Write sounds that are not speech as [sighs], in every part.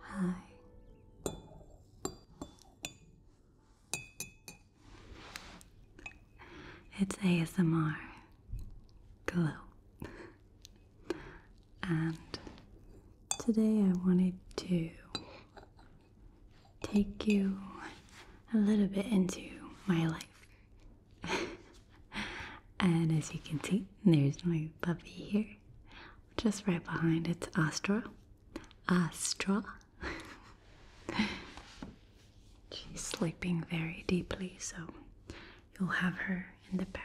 Hi. It's ASMR Glow. And today I wanted to take you a little bit into my life. [laughs] and as you can see, there's my puppy here. Just right behind it's Astra. Astra. [laughs] She's sleeping very deeply, so you'll have her in the background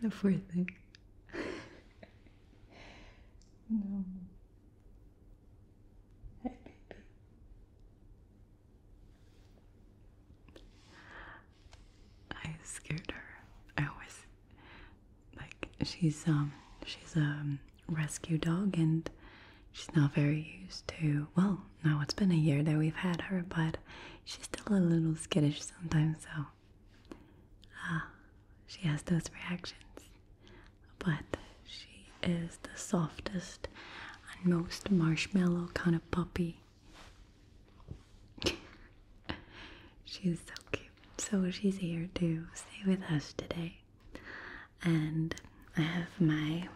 the fourth thing. no. Hey, baby. I scared her. I always like she's um she's a rescue dog and she's not very used to well now it's been a year that we've had her but she's still a little skittish sometimes so Ah, she has those reactions. But she is the softest and most marshmallow kind of puppy. [laughs] she's so cute. So she's here to stay with us today. And I have my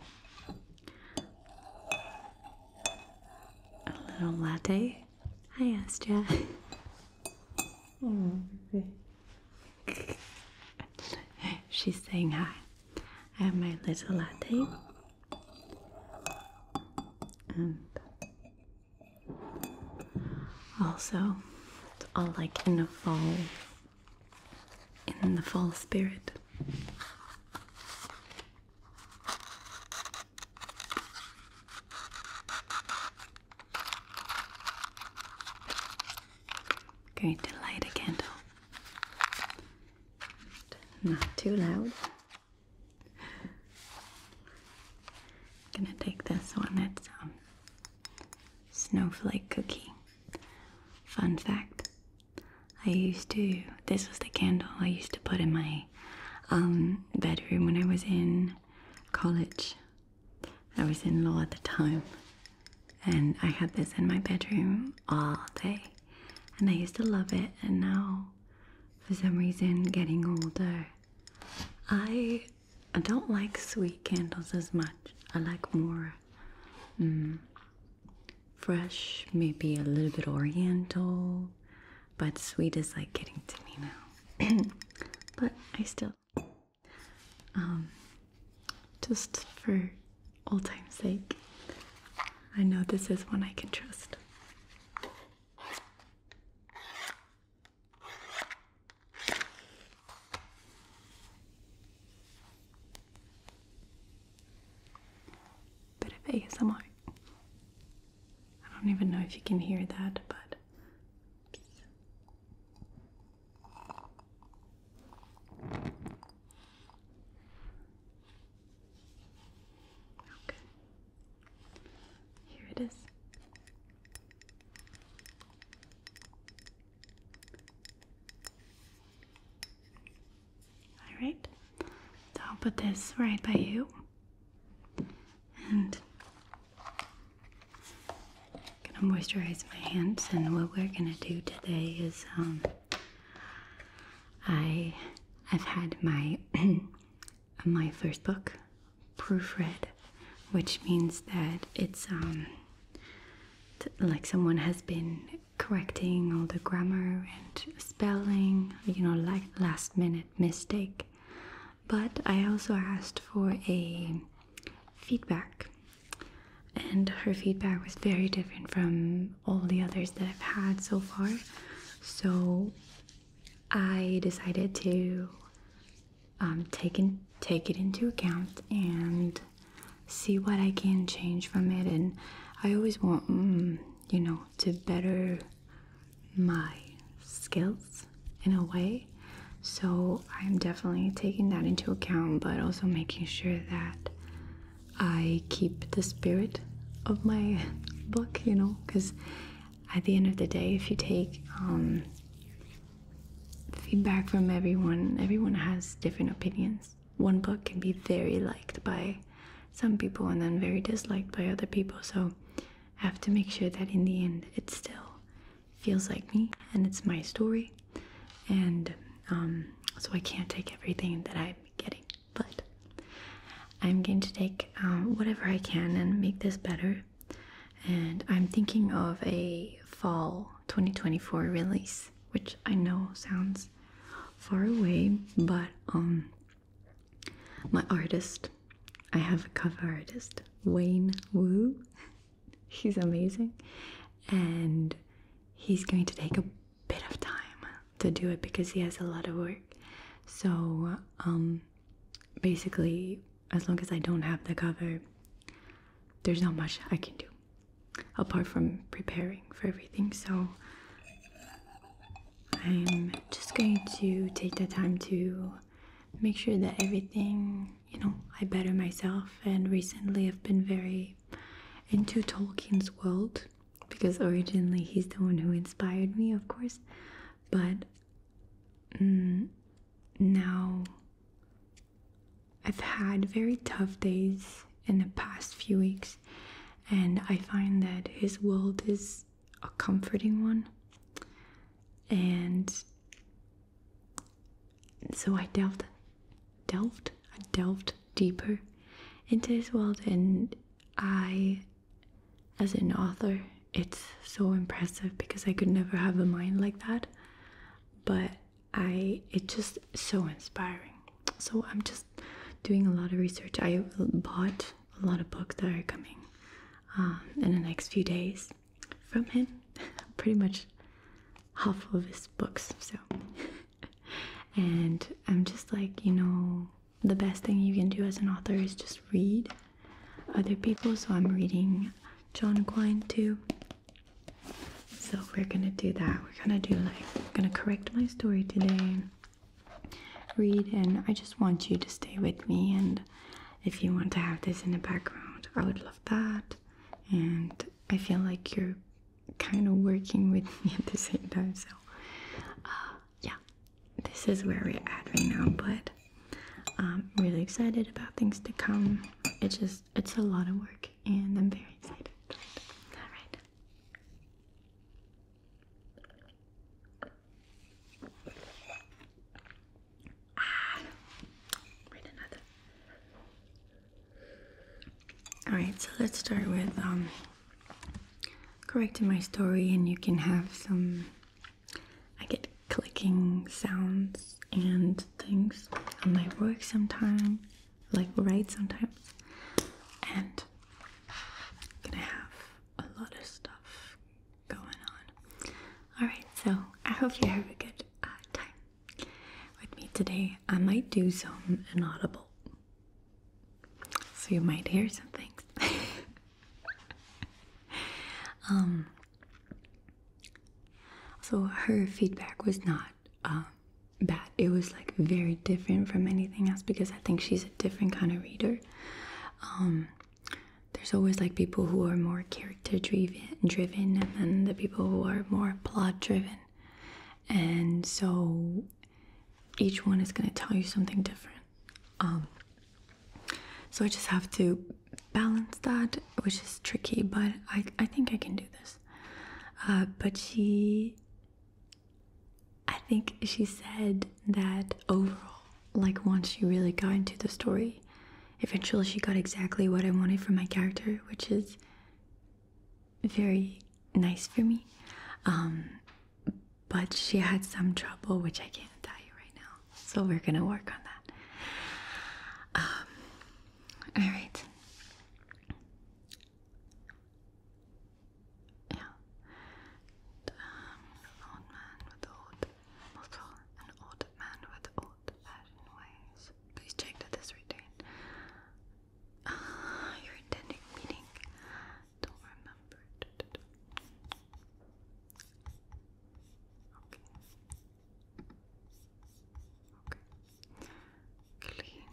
little latte Hi, Astra. [laughs] She's saying hi. I have my little latte. And also, it's all like in the fall, in the fall spirit. Going to light a candle. Not too loud. Gonna take this one. It's um, snowflake cookie. Fun fact: I used to. This was the candle I used to put in my um, bedroom when I was in college. I was in law at the time, and I had this in my bedroom all day, and I used to love it. And now, for some reason, getting older, I don't like sweet candles as much. I like more mm, fresh, maybe a little bit oriental. But sweet is like getting to me now. [clears throat] but I still, um, just for old time's sake, I know this is one I can trust. Bit of ASMR. I don't even know if you can hear that, but. Okay. Here it is. All right. So I'll put this right by you. And I'm going to moisturize my hands. And what we're going to do today is um, I, I've had my, [clears throat] my first book proofread, which means that it's um, like someone has been correcting all the grammar and spelling, you know, like last minute mistake but I also asked for a feedback, and her feedback was very different from all the others that I've had so far. So I decided to um, take, take it into account and see what I can change from it. And I always want, mm, you know, to better my skills in a way. So I'm definitely taking that into account, but also making sure that I keep the spirit of my [laughs] book, you know, because at the end of the day, if you take um, feedback from everyone, everyone has different opinions. One book can be very liked by some people and then very disliked by other people. So have to make sure that in the end it still feels like me and it's my story. And um, so I can't take everything that I'm getting, but I'm going to take um, whatever I can and make this better. And I'm thinking of a fall 2024 release, which I know sounds far away, but um, my artist, I have a cover artist, Wayne Wu. [laughs] He's amazing, and he's going to take a bit of time to do it because he has a lot of work. So, um, basically, as long as I don't have the cover, there's not much I can do apart from preparing for everything. So, I'm just going to take the time to make sure that everything, you know, I better myself. And recently I've been very into Tolkien's world because originally he's the one who inspired me, of course. But mm, now I've had very tough days in the past few weeks, and I find that his world is a comforting one. And so I delved, delved, I delved deeper into this world, and I, as an author, it's so impressive because I could never have a mind like that. But I, it's just so inspiring. So I'm just doing a lot of research. I bought a lot of books that are coming um, in the next few days from him. [laughs] Pretty much half of his books, so. [laughs] and I'm just like, you know, the best thing you can do as an author is just read other people. So I'm reading John Quine too. So we're gonna do that. We're gonna do like, I'm gonna correct my story today, read, and I just want you to stay with me and if you want to have this in the background, I would love that. And I feel like you're kind of working with me [laughs] at the same time, so uh, yeah, this is where we're at right now. But I'm really excited about things to come. It's just it's a lot of work, and I'm very excited. All right. Ah, Alright, so let's start with um, correcting my story, and you can have some. I get clicking sounds and things on my work sometimes, like right sometimes, and gonna have a lot of stuff going on. Alright, so I hope you have a good uh, time with me today. I might do some inaudible, so you might hear some things. [laughs] um, so her feedback was not uh, bad. It was like very different from anything else because I think she's a different kind of reader. Um, there's always like people who are more character driven, driven and the people who are more plot driven. And so each one is going to tell you something different. Um, so I just have to balance that, which is tricky, but I, I think I can do this. Uh, but she, I think she said that overall, like once she really got into the story, eventually she got exactly what I wanted for my character, which is very nice for me. Um, but she had some trouble, which I can't tell you right now. So we're gonna work on that. Um, all right. Yeah. Um, Hamilton, an old man with old-fashioned ways. Please check that this retained. Ah, your intended meaning. Don't remember. Okay. Okay. Cleaned.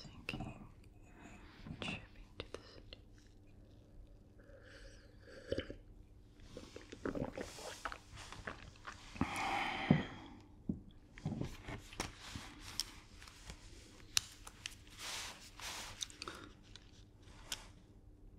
Sinking, tripping to the city.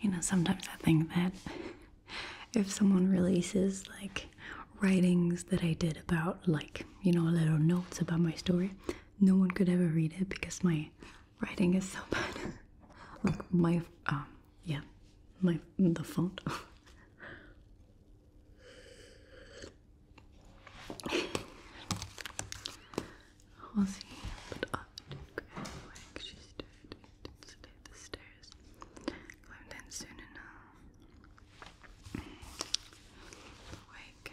You know, sometimes I think that if someone releases like writings that I did about, like, you know, little notes about my story, no one could ever read it because my writing is so bad. [laughs] Look, my um, yeah, my the font. Was [laughs] he put up to Granwick? She stood the stairs. Climbed in soon enough. Awake.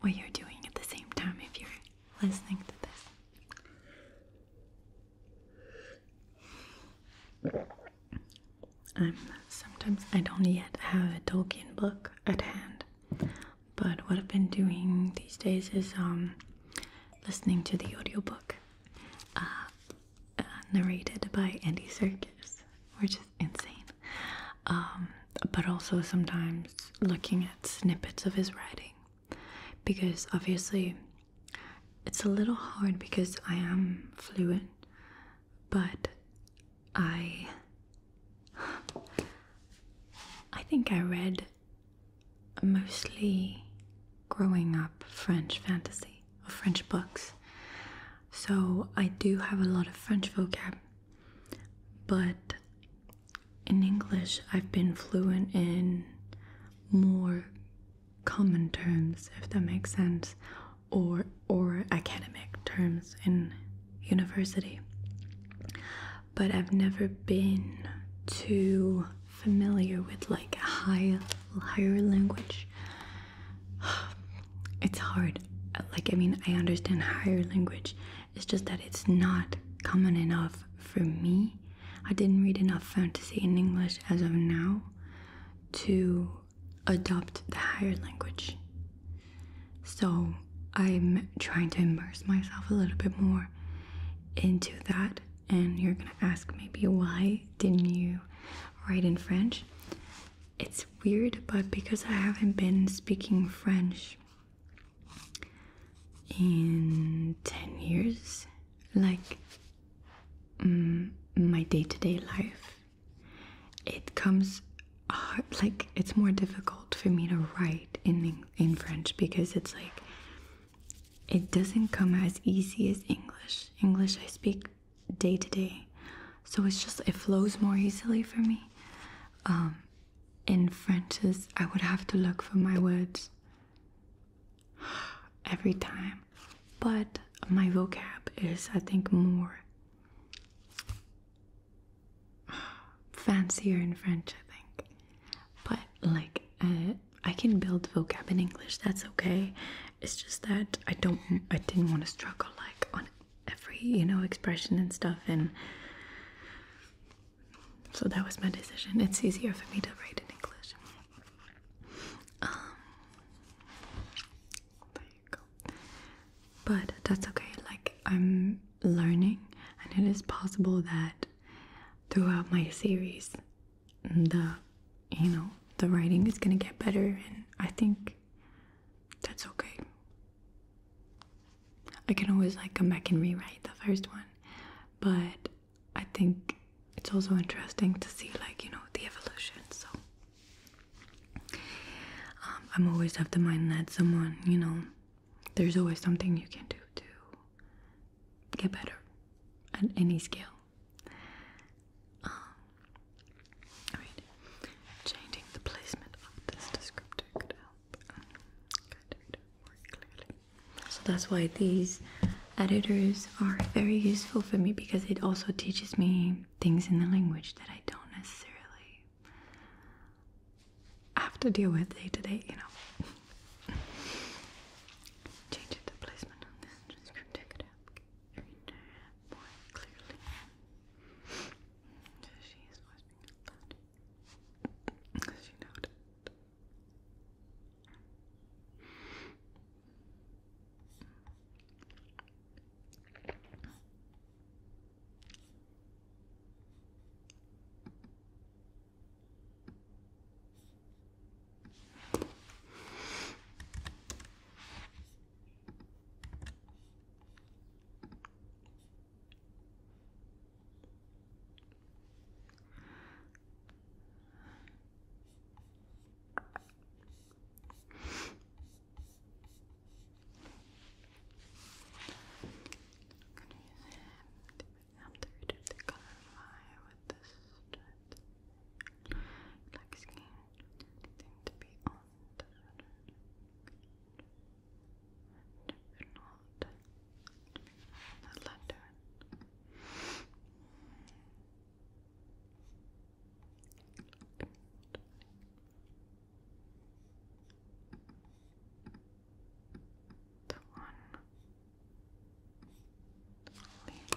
what you're doing at the same time if you're listening to this. I'm sometimes I don't yet have a Tolkien book at hand, but what I've been doing these days is um, listening to the audiobook uh, uh, narrated by Andy Serkis, which is insane. Um, but also sometimes looking at snippets of his writing because obviously it's a little hard because I am fluent, but I I think I read mostly growing up French fantasy or French books. So I do have a lot of French vocab, but in English, I've been fluent in more common terms, if that makes sense, or or academic terms in university. But I've never been too familiar with like a higher language. [sighs] It's hard. Like I mean, I understand higher language it's just that it's not common enough for me. I didn't read enough fantasy in English as of now to adopt the higher language. So I'm trying to immerse myself a little bit more into that. And you're gonna ask maybe why didn't you write in French? It's weird, but because I haven't been speaking French in 10 years like mm, my day-to-day life it comes like it's more difficult for me to write in in french because it's like it doesn't come as easy as english english i speak day to day so it's just it flows more easily for me um, in French,es I would have to look for my words [gasps] every time. But my vocab is, I think, more [sighs] fancier in French, I think. But like, uh, I can build vocab in English. That's okay. It's just that I don't, I didn't want to struggle like on every, you know, expression and stuff. And so that was my decision. It's easier for me to write in English. Um, but that's okay. Like I'm learning, and it is possible that throughout my series, the you know the writing is gonna get better, and I think that's okay. I can always like come back and rewrite the first one, but I think it's also interesting to see like you know the evolution. So um, I'm always of the mind that someone you know there's always something you can do to get better at any skill. Um, all right, changing the placement of this descriptor so that's why these editors are very useful for me because it also teaches me things in the language that I don't necessarily have to deal with day to day, you know. [laughs] She noted gonna use it after we do the color with this stretch. skin, anything to be on do not let that do The one Leave.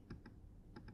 If not, Okay.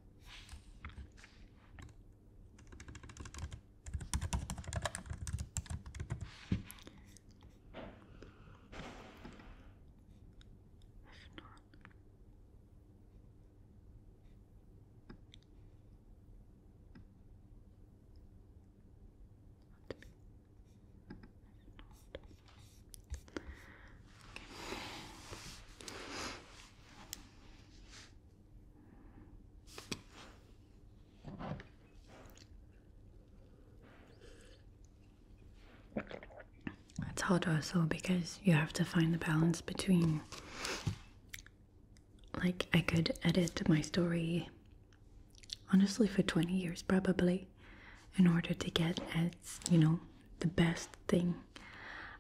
It's hard also because you have to find the balance between like I could edit my story honestly for 20 years probably in order to get as, you know, the best thing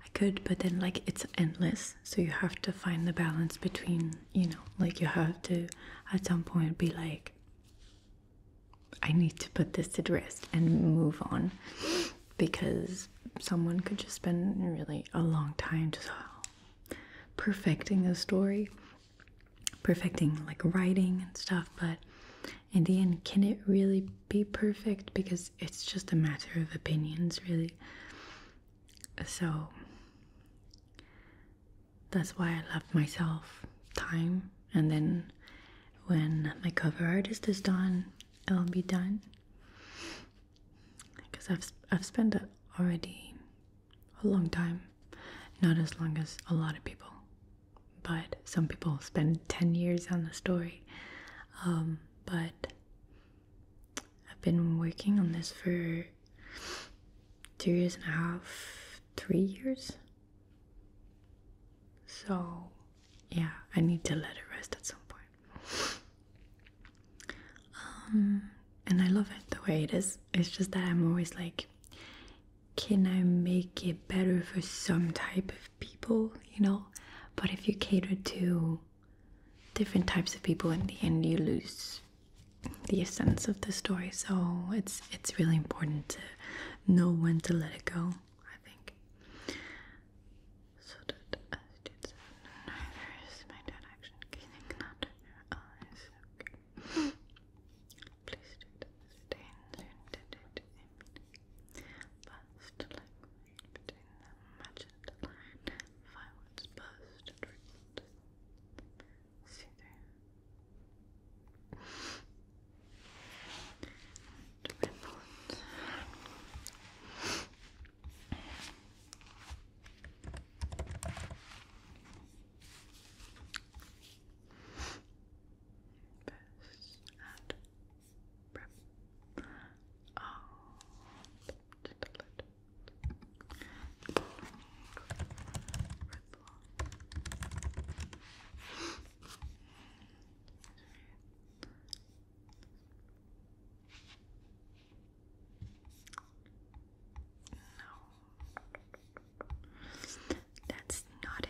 I could, but then like it's endless, so you have to find the balance between you know, like you have to at some point be like, I need to put this to rest and move on because someone could just spend really a long time just perfecting a story, perfecting like writing and stuff, but in the end, can it really be perfect because it's just a matter of opinions, really. So that's why I love myself time, and then when my cover artist is done, it'll be done. Because I've I've spent already a long time, not as long as a lot of people, but some people spend ten years on the story. Um, but I've been working on this for two years and a half, three years. So, yeah, I need to let it rest at some point. Um, and I love it the way it is. It's just that I'm always like, can I make it better for some type of people, you know. But if you cater to different types of people in the end you lose the essence of the story. So it's it's really important to know when to let it go, I think between them, violence burst and wrinkled. See through. and rippled. Burst Oh. No, that's not it.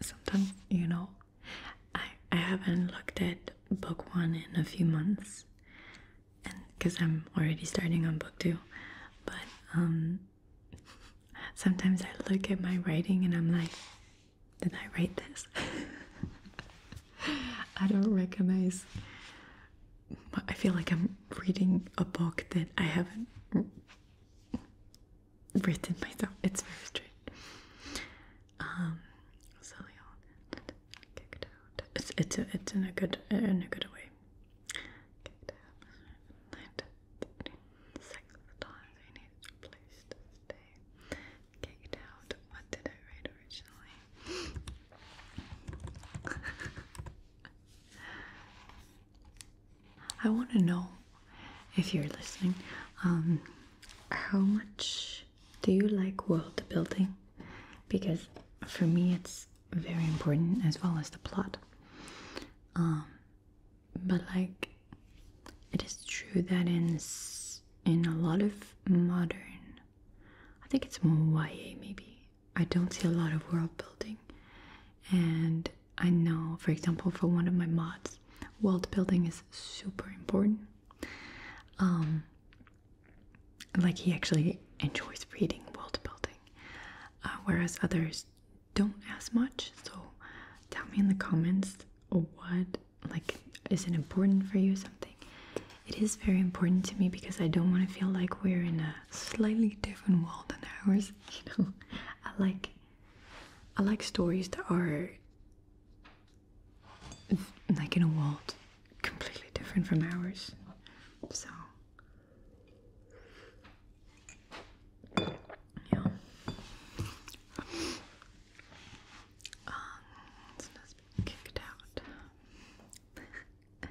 Sometimes, you know, I I haven't looked at book one in a few months, and because I'm already starting on book two, but um, sometimes I look at my writing and I'm like, did I write this? [laughs] I don't recognize. I feel like I'm reading a book that I haven't written [laughs] myself. It's very strange. Um, so kicked out. It's it's it's in a good in a good way. Kicked out. Six times he needed a place Kicked out. What did I write originally? [laughs] I want to know if you're listening. Um, how much do you like world building? Because for me, it's very important as well as the plot. Um, but like, it is true that in in a lot of modern, I think it's more YA maybe. I don't see a lot of world building, and I know, for example, for one of my mods, world building is super important. Um, like he actually enjoys reading world building, uh, whereas others don't as much. So tell me in the comments what like is it important for you something. It is very important to me because I don't want to feel like we're in a slightly different world than ours. [laughs] you know, I like I like stories that are like in a world completely different from ours. So yeah. Um, [laughs]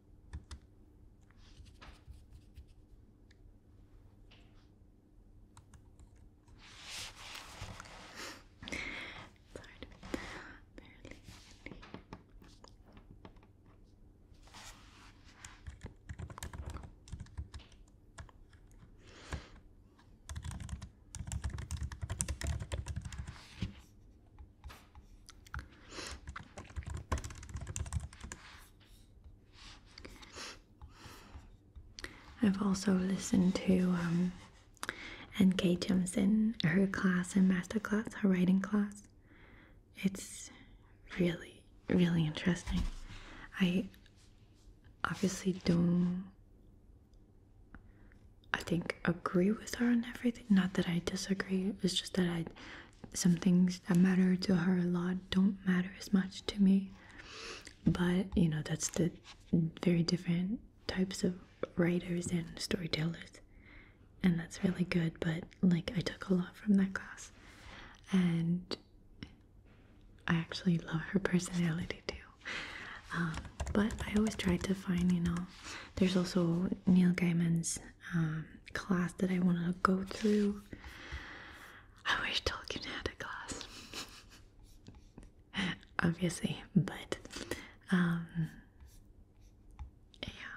Sorry, barely in here. Okay. I've also listened to um, N.K. Jemison, her class and master class, her writing class. It's really, really interesting. I obviously don't, I think, agree with her on everything. Not that I disagree, it's just that I some things that matter to her a lot don't matter as much to me. But you know, that's the very different types of writers and storytellers, and that's really good. But like, I took a lot from that class, and I actually love her personality too. Um, but I always try to find, you know, there's also Neil Gaiman's um, class that I wanted to go through. I wish Tolkien had a class, [laughs] obviously, but um, yeah,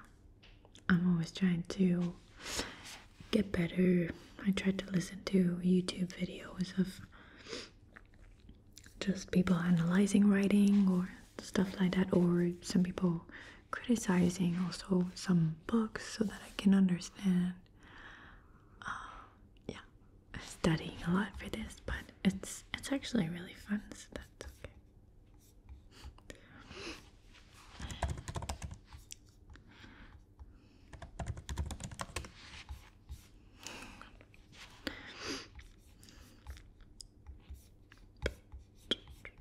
I'm always trying to get better. I try to listen to YouTube videos of just people analyzing writing or stuff like that, or some people criticizing also some books so that I can understand. Uh, yeah, studying a lot for this, but it's it's actually really fun, so that's okay.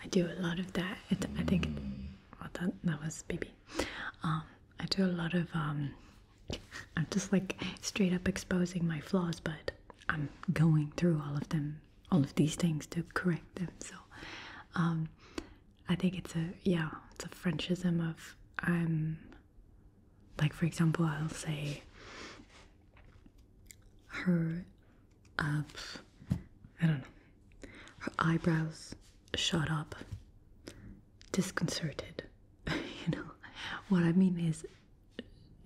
I do a lot of that. I think that, that was Bibi. Um, I do a lot of, um, [laughs] I'm just like straight up exposing my flaws, but I'm going through all of them, all of these things to correct them. So, um, I think it's a, yeah, it's a Frenchism of, I'm, like, for example, I'll say, her, uh, I don't know, her eyebrows shut up, disconcerted. [laughs] you know, what I mean is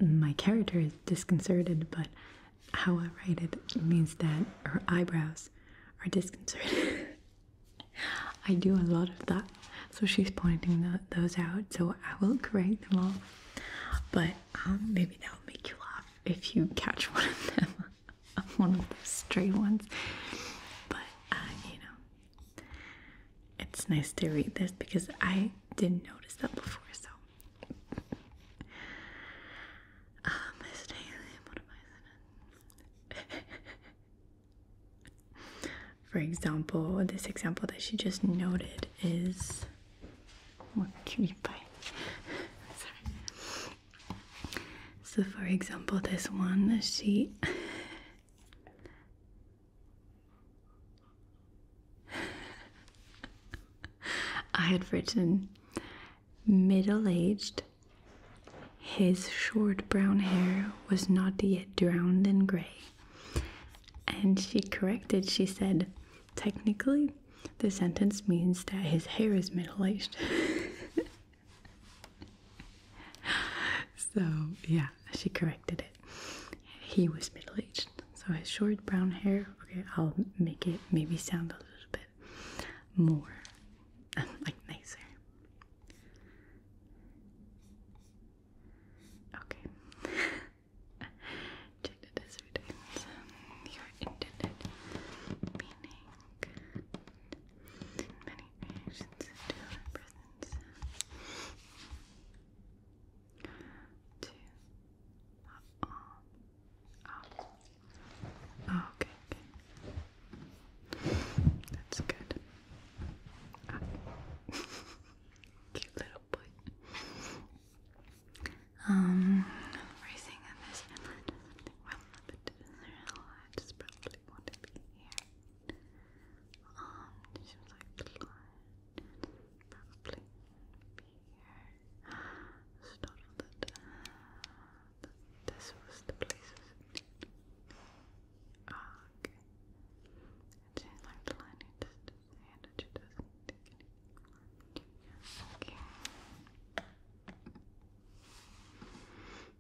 my character is disconcerted, but how I write it means that her eyebrows are disconcerted. [laughs] I do a lot of that, so she's pointing those out, so I will correct them all. But um, maybe that'll make you laugh if you catch [laughs] one of them. [laughs] one of the stray ones. But, uh, you know, it's nice to read this because I didn't notice that before, so. Um, [laughs] For example, this example that she just noted is. [laughs] So, for example, this one, she. I had written middle aged. His short brown hair was not yet drowned in gray. And she corrected, she said, technically, the sentence means that his hair is middle aged. [laughs] so, yeah, she corrected it. He was middle aged. So, his short brown hair, okay, I'll make it maybe sound a little bit more [laughs] like nicer. Okay. [laughs] and many reactions to our presence to uh -oh. okay, okay. That's good. Cute little boy. Um, racing on this really want to be here. Um, she was like, probably be here. [gasps] Startled uh, this was the place, was ah, okay. And like the line and just and doesn't think anything. Okay.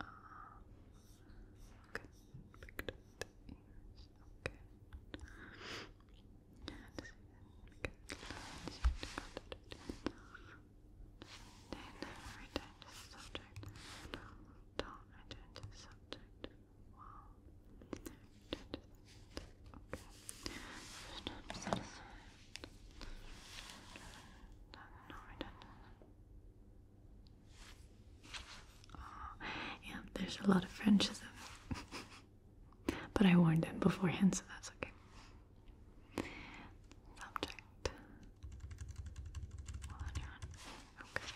Um, okay, picked up the ears. Okay. And see then return to subject. Don't return to subject. Wow. Return to subject. Okay. Stop satisfied. No, no return to subject yeah, there's a lot of Frenches [laughs] in But I warned him beforehand, so that's okay. Subject. okay.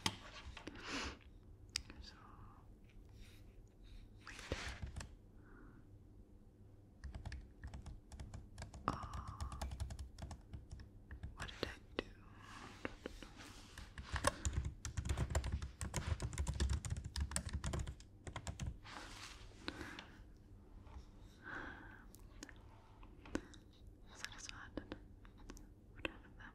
So, wait. Oh, what did I do. Satisfied with them. Them. Not.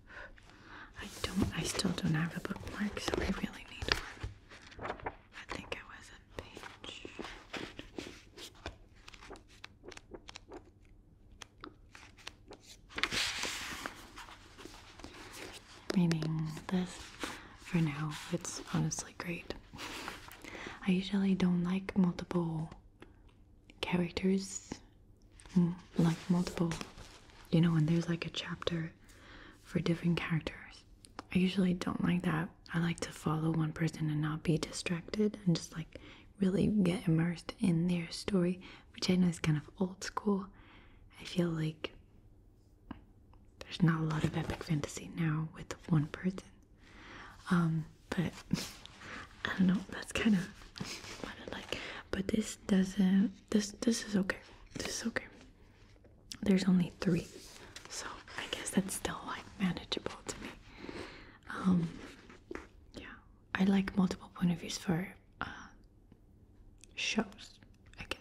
I don't, I still don't have a bookmark, so I really need one. I think it was a page. Reading this for now, it's honestly great. I usually don't like multiple characters, mm, like multiple, you know, when there's like a chapter for different characters. I usually don't like that. I like to follow one person and not be distracted and just like really get immersed in their story, which I know is kind of old school. I feel like there's not a lot of epic fantasy now with one person. Um, but [laughs] I don't know, that's kind of [laughs] what I like. But this doesn't this this is okay. This is okay. There's only three, so I guess that's still like manageable to me. Um, yeah, I like multiple point of views for uh, shows, I guess.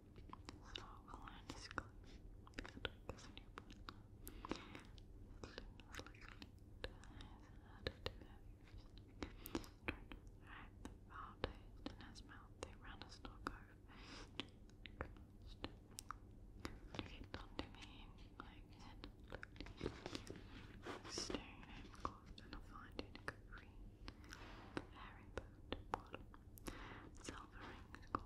so I'll just click the darkest new button. Let's look at how to do it. Alright, the foul taste in his mouth, they ran a stock over. Looked onto me, like it looked. I was staring at him close enough I did green. The hairy boat bottom. Silver rings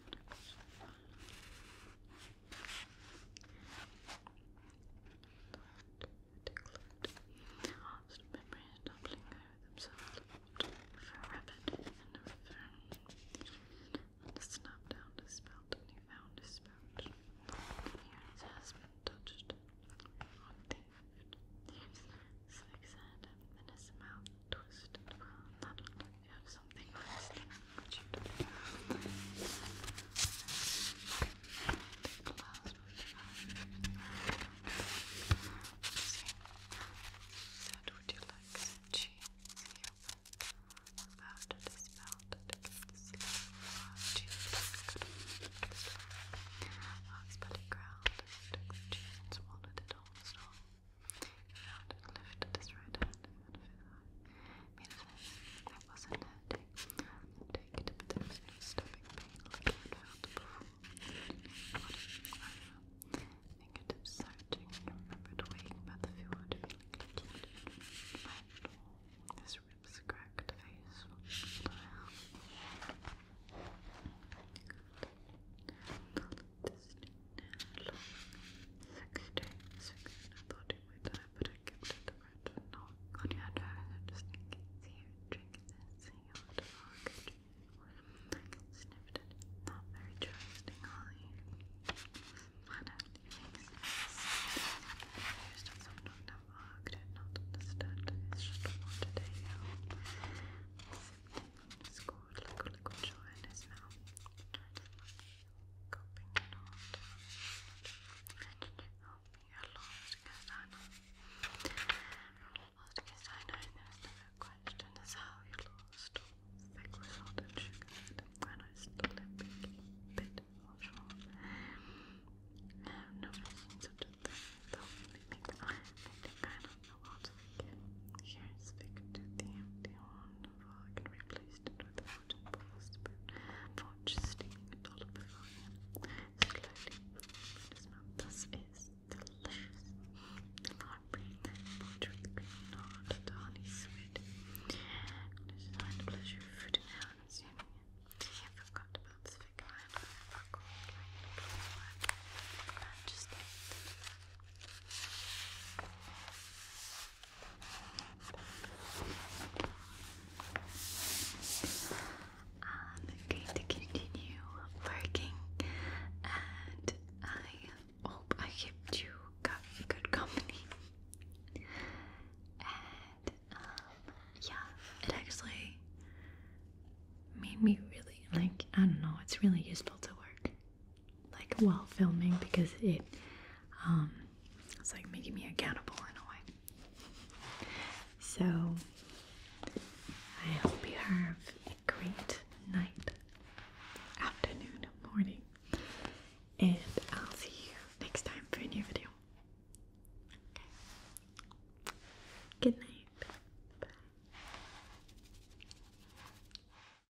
Lost memories doubling over themselves for rabbit and a firm. And a snap down his belt and he found his spout. Here his husband touched on David. Slick said, and his mouth twisted don't know have something nice there, but you don't. Said, would you like some cheese? He opened about his mouth and against the cheese. Ox belly growled and took the cheese and swallowed it almost all and lifted his right hand in front of his eye. Meanwhile, I wasn't hurting. I'm taking the potential stopping I had felt before. I Fingertips searching and remembered waking by the fjord, feeling like he had been His ribs cracked, face my time, but I kept it around and knock on your nose and just in you drink this, see how it it. Not very trusting, Ollie. Why not? It makes sense. Just someone never did not understand. It's just a water day out scored a liquid jaw in his mouth. Tried to flush, gulping it Can I lost Castano. Lost Castano, and there question as he lost. Thick with salt and sugar, and I stole a big bit of short. I have never seen such a thing, though it makes me I don't know what Here's Victor the empty one. I can replace it with a wooden post, but forge steaming it all before him. Slowly open This is delicious. The heartbreak that porch with the green knot, pleasure food and now I'm I forgot about the close And just ate I'm going to continue working and I hope I kept you good company. And um, yeah, it actually made me really like I don't know, it's really useful to work like while filming because it um, it's like making me accountable in a way. So I hope you have a great night, afternoon, morning, and I'll see you next time for a new video. Okay. Good night. Bye.